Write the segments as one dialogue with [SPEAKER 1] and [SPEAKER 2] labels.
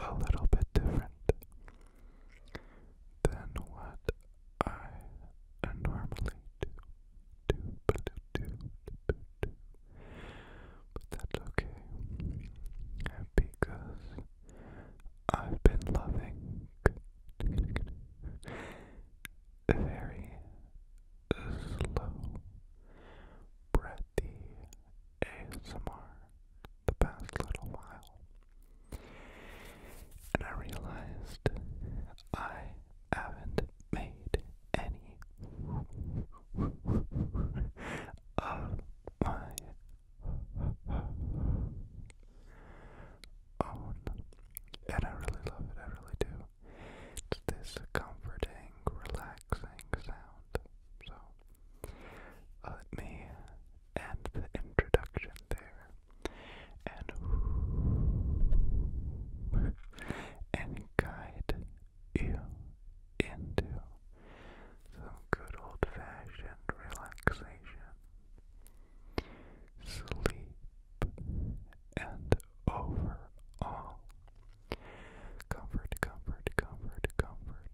[SPEAKER 1] a little bit different than what I normally do. But that's okay because I've been loving very slow, breathy ASMR the past little while, and I realized I haven't made any of my own, and I really love it, I really do. It's this comforting, relaxing sound. So let uh, me end the introduction there and and guide you into some good old fashioned relaxation. Sleep and overall Comfort, comfort, comfort, comfort.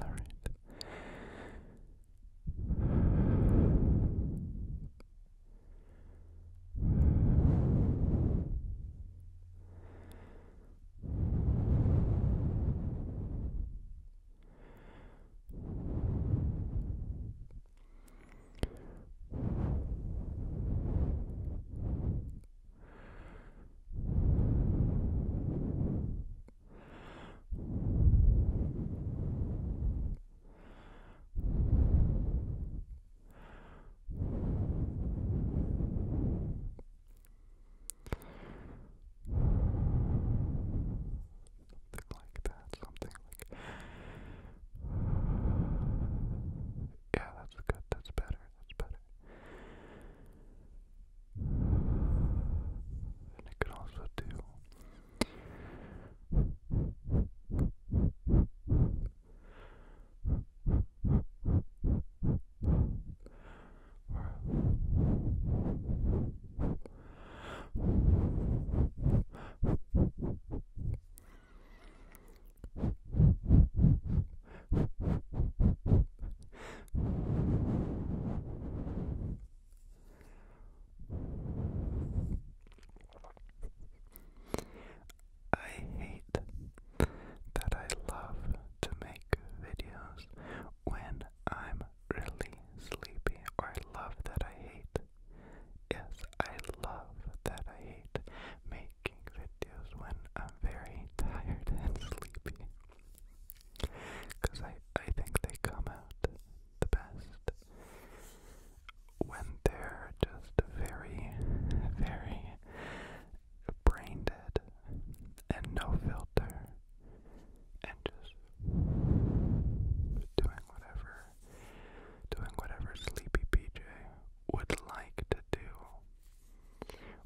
[SPEAKER 1] Alright. Something like that, something like yeah, that's good. That's better. That's better. And it can also do. I hate that I love to make videos when I'm really sleepy, or I love that I hate. Yes, I love that I hate making making videos when I'm very tired and sleepy. Because I, I think they come out the best when they're just very, very brain dead and no filter and just doing whatever doing whatever Sleepy PJ would like to do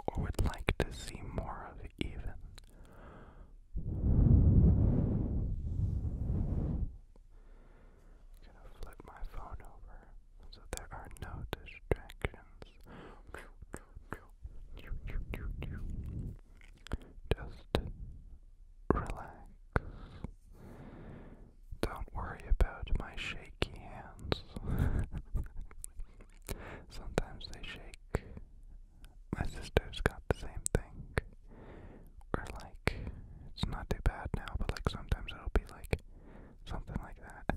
[SPEAKER 1] or would like to see more of even. gonna flip my phone over so there are no distractions. Just relax don't worry about my shaky hands. Sometimes they shake. My sister's got the same thing. Or like, it's not too bad now, but like sometimes it'll be like something like that.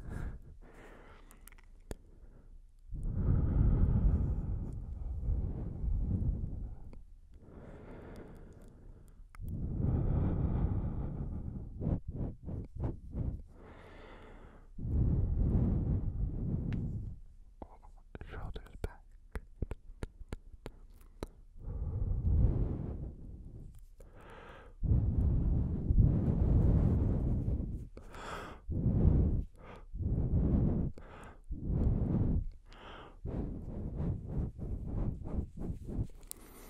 [SPEAKER 1] Shoulders back.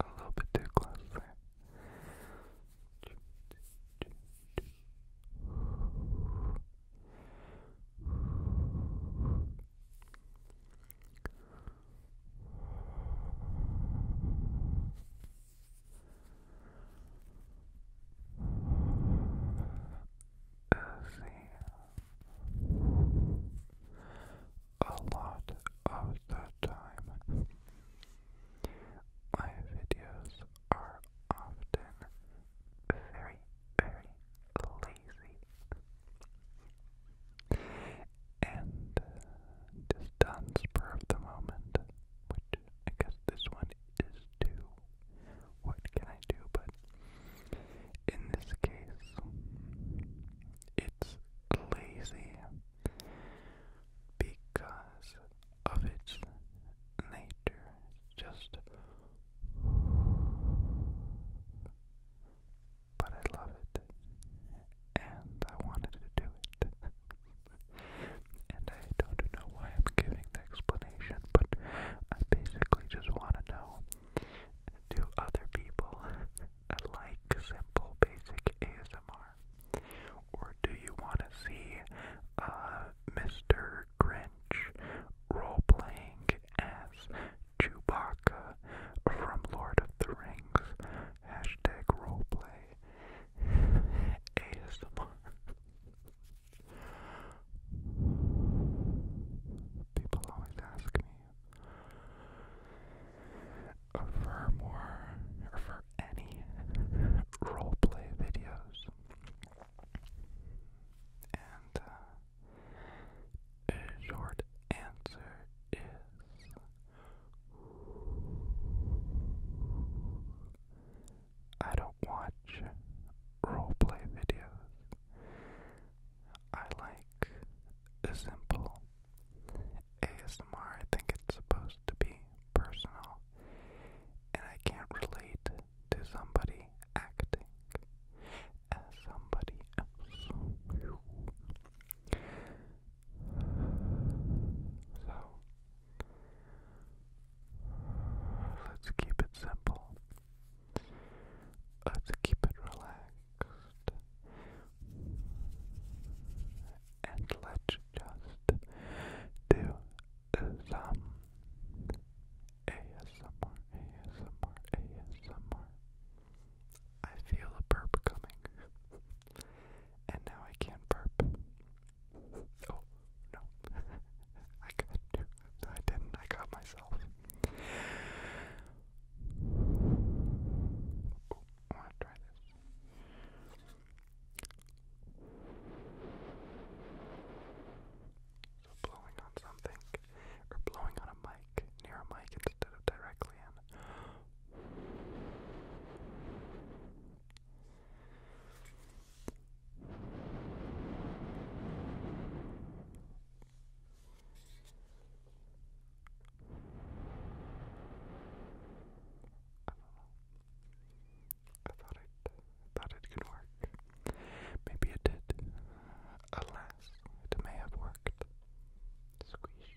[SPEAKER 1] A little bit too close there see a lot of the time. My videos are often very, very lazy and just done spur of the moment, which I guess this one is two. What can I do? But in this case, it's lazy because of its nature. Just. But I love it, and I wanted to do it, I don't know why I'm giving the explanation, but I basically just want to know do other people like simple basic ASMR? Or do you want to see uh, Mr. Grinch role playing as Chewbacca from Lord of the Rings? Hashtag roleplay ASMR. People always ask me uh, for more, or for any roleplay videos. And uh, a short answer is I don't watch roleplay videos. I like a simple ASMR. I think it's supposed to be personal, and I can't relate to somebody acting as somebody else. So, Let's keep it simple. Let's keep it relaxed. And let's just do some ASMR, ASMR, ASMR. I feel a burp coming. And now I can't burp. Oh, no. I got two. I didn't. I caught myself. I want to try this. So blowing on something, or blowing on a mic, near a mic instead of directly in. I thought it, I thought it could work. Maybe it did. Alas, it may have worked. Squish.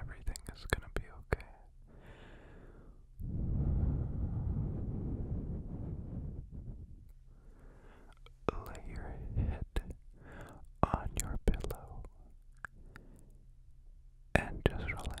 [SPEAKER 1] Everything is going to be okay. Lay your head on your pillow and just relax.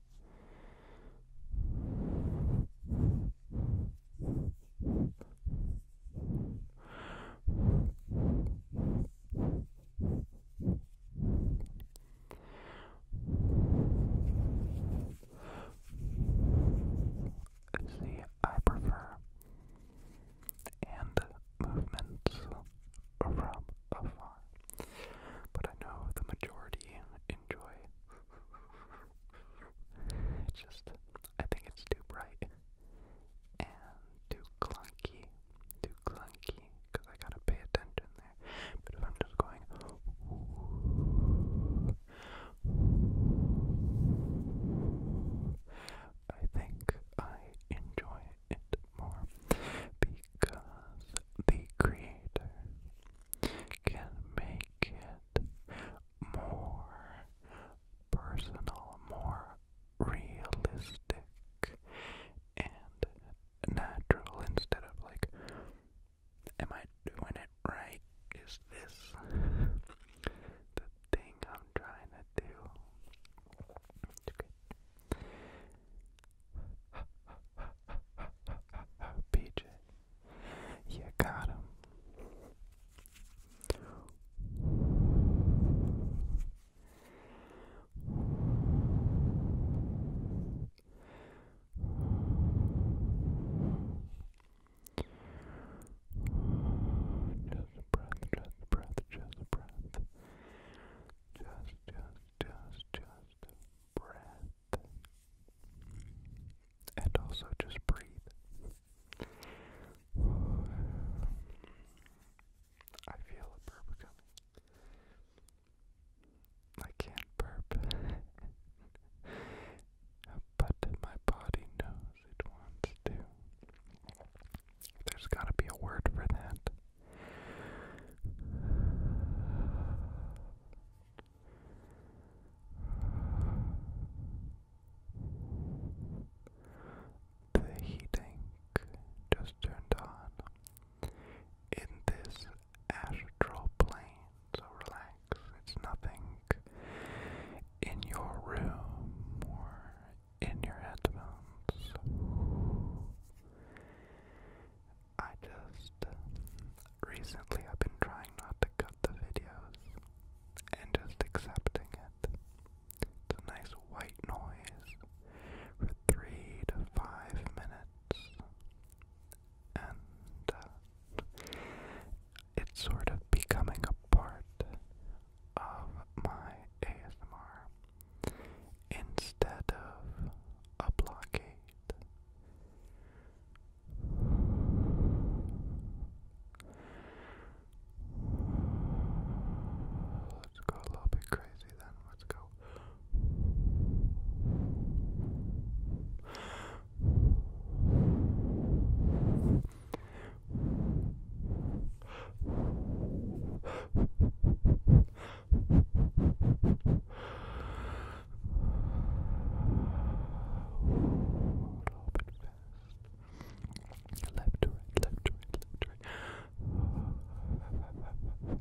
[SPEAKER 1] See, I prefer and movements from afar, but I know the majority enjoy it's just, I think it's too bright and too clunky, too clunky, because I gotta pay attention there. But if I'm just going, I think I enjoy it more because the creator can make it more personal, more realistic and natural instead of like, am I doing it right? Is this the thing I'm trying to do? PJ. You got him. Just breath, just breath, just breath. Just, just, just, just, breath. And also just breathe. I feel a burp coming. I can't burp. but my body knows it wants to. There's gotta be a word for that. The heating just turned on in this astral plane, so relax. It's nothing in your room or in your headphones. I just uh, recently I've been trying not to cut the videos and just accepting it. It's nice white noise for three to five minutes, and uh, it's sort of becoming a part of my ASMR instead of a blockade. Let's go a little bit crazy then. Let's go fast. Left to right, left to right, left to right.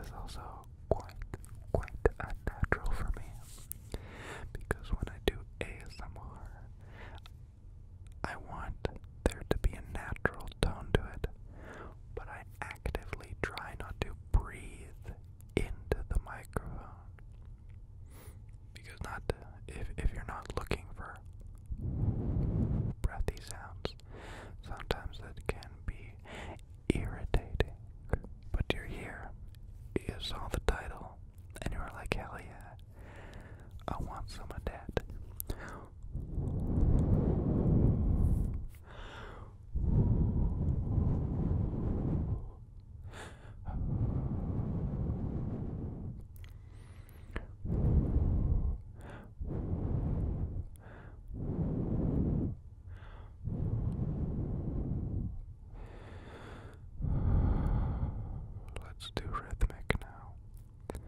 [SPEAKER 1] is also quite, quite unnatural for me because when I do ASMR, I want there to be a natural tone to it, but I actively try not to breathe into the microphone because not if if you're not looking for breathy sounds, sometimes that can be irritating. But you're here, you saw the title, and you are like, hell yeah, I want some of that. Let's do rhythmic now. Let's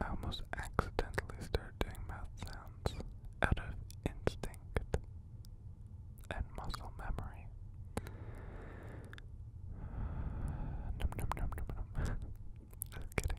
[SPEAKER 1] I almost accidentally started doing mouth sounds out of instinct and muscle memory. Num num num num num. Just kidding.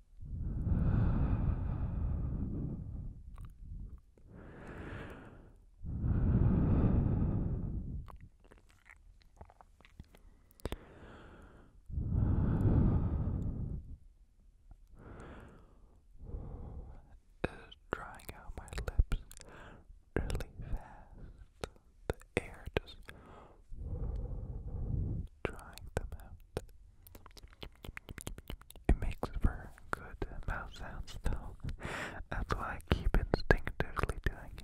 [SPEAKER 1] Is drying out my lips really fast. The air just trying them out. It makes for good mouth sounds That's why I keep instinctively doing it.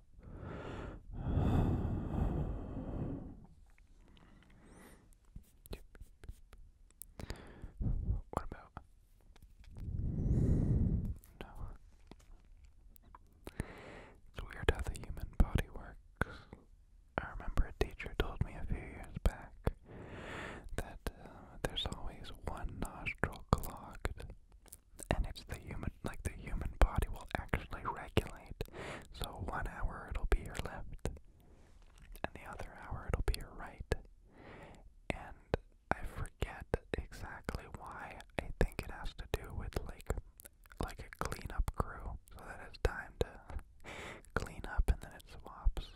[SPEAKER 1] What about? No. It's weird how the human body works. I remember a teacher told me a few years back that uh, there's always one nostril clogged and it's the human, like the human body will actually regulate. So one hour it'll be your left, and the other hour it'll be your right. And I forget exactly why. I think it has to do with like, like a cleanup crew, so that it's time to clean up, and then it swaps.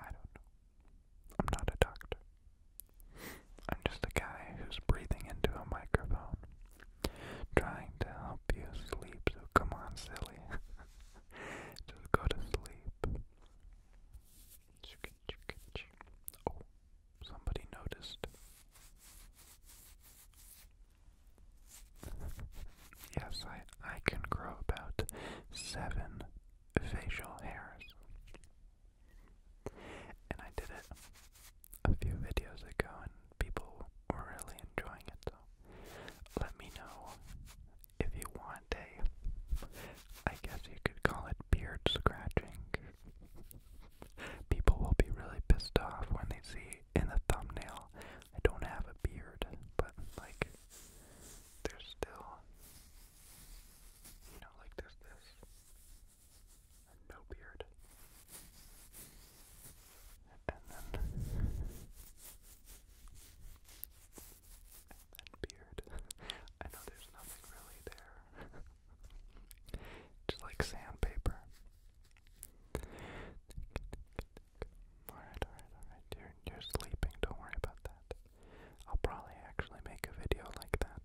[SPEAKER 1] I don't know. I'm not a doctor. I'm just a guy who's breathing into a microphone, trying to help you sleep, so come on, silly. just go to sleep. Oh, somebody noticed. yes, I, I can grow about seven facial hairs. And I did it a few videos ago and people were really enjoying it. So let me know if you want a, I guess you could call it beard scratching. People will be really pissed off when they see in the thumbnail I don't have a beard, but like there's still, you know, like there's this no beard. And then, and then beard. I know there's nothing really there. Just like sandpaper. Alright, alright, alright. You're, you're sleeping, don't worry about that. I'll probably actually make a video like that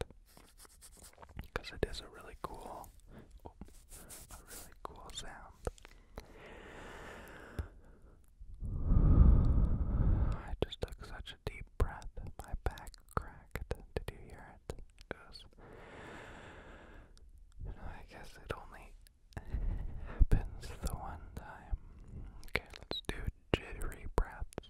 [SPEAKER 1] because it is a really cool, a really cool sound. I just took such a deep breath, my back cracked. Did you hear it? I guess it only happens the one time. Okay, let's do jittery breaths.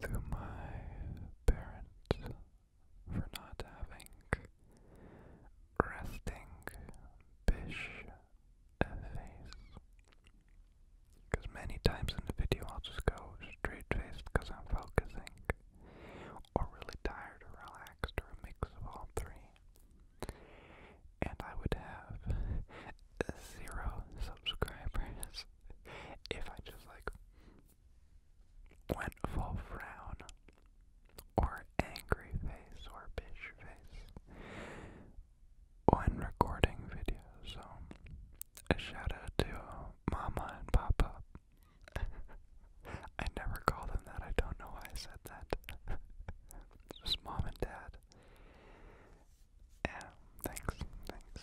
[SPEAKER 1] through my parents for not having resting bish face. Because many times in the video I'll just go straight faced because I'm focusing, or really tired or relaxed, or a mix of all three. And I would have zero subscribers if I just like went full frown, or angry face, or bitch face, when recording videos. So, a shout out to Mama and Papa. I never call them that, I don't know why I said that. just Mom and Dad. Yeah, thanks, thanks.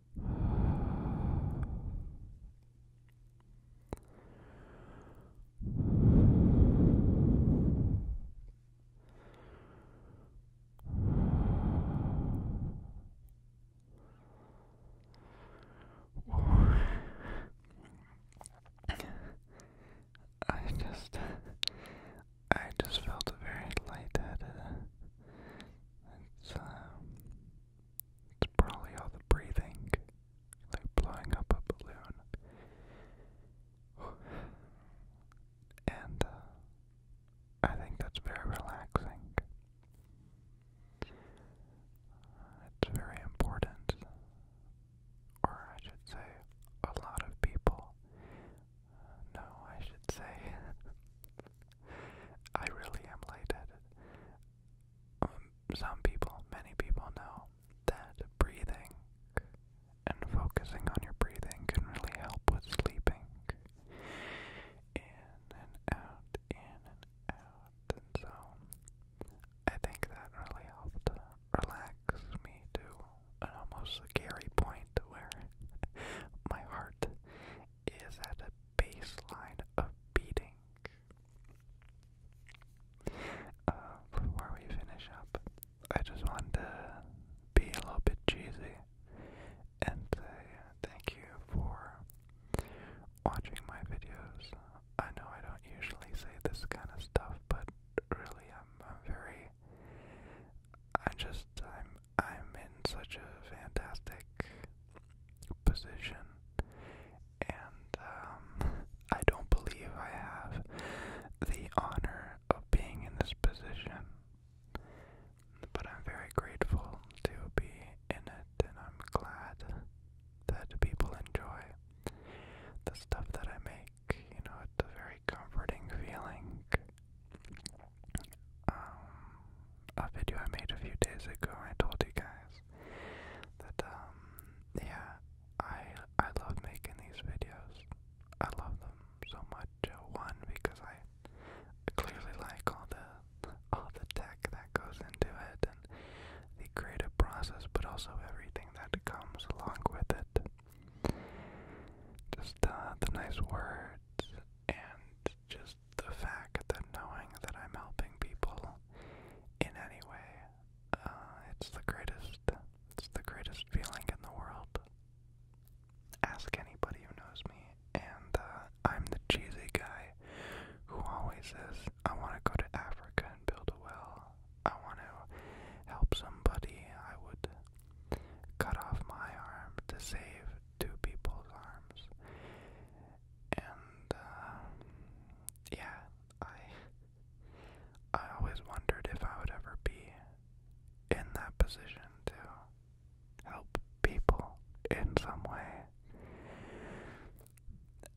[SPEAKER 1] I just I just felt very lightheaded um, it's, probably all the breathing, like blowing up a balloon. And uh, I think that's very relaxing. It's very important, or I should say, a lot of people. no, I should say, I really am lightheaded. Um, some people, many people know that breathing and focusing on your breathing can really help with sleeping. In and out, in and out. And so I think that really helped relax me to an almost scary point where my heart is at a baseline of beating. Uh, before we finish up, I just want to be a little bit cheesy and thank you for watching my videos. I know I don't usually say this kind of stuff, but really I'm, very, I just, am I'm in such a fantastic position, and um, I don't believe I have the honor of being in this position. But I'm very grateful to be in it, and I'm glad that people enjoy the stuff that I make. You know, it's a very comforting feeling um, a video I made a few days ago. I told you guys that, um, yeah, I I love making these videos. I love them so much. Uh, one because I clearly like all the all the tech that goes into it and the creative process, but also everything that comes along with it. Just uh, the nice words and just just the fact that knowing that I'm helping people in any way, uh, it's the greatest, it's the greatest feeling in the world. Ask anybody who knows me, and uh, I'm the cheesy guy who always says, I want to go to Africa and build a well. I want to help somebody. I would cut off my arm to save two people's arms. And uh, yeah, I I always wondered if I would ever be in that position to help people in some way.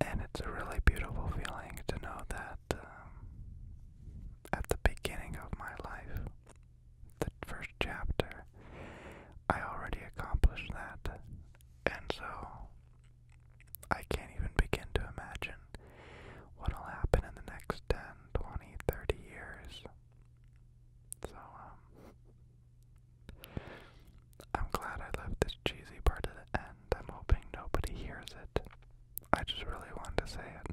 [SPEAKER 1] And it's a really beautiful feeling to know that um, at the beginning of my life, the first chapter, I already accomplished that. And so, I can't even begin to imagine what'll happen in the next 10, 20, 30 years. So, um, I'm glad I left this cheesy part at the end. I'm hoping nobody hears it. I just really wanted to say it.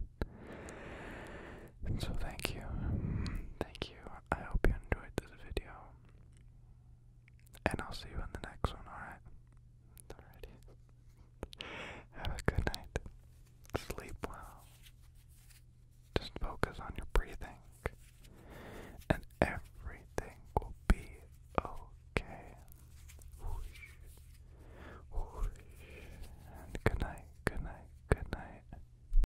[SPEAKER 1] So, thank you. Thank you. I hope you enjoyed this video. And I'll see you in the next one, alright? Alrighty. Have a good night. Sleep well. Just focus on your breathing. And everything will be okay. Whoosh. Whoosh. And good night, good night, good night.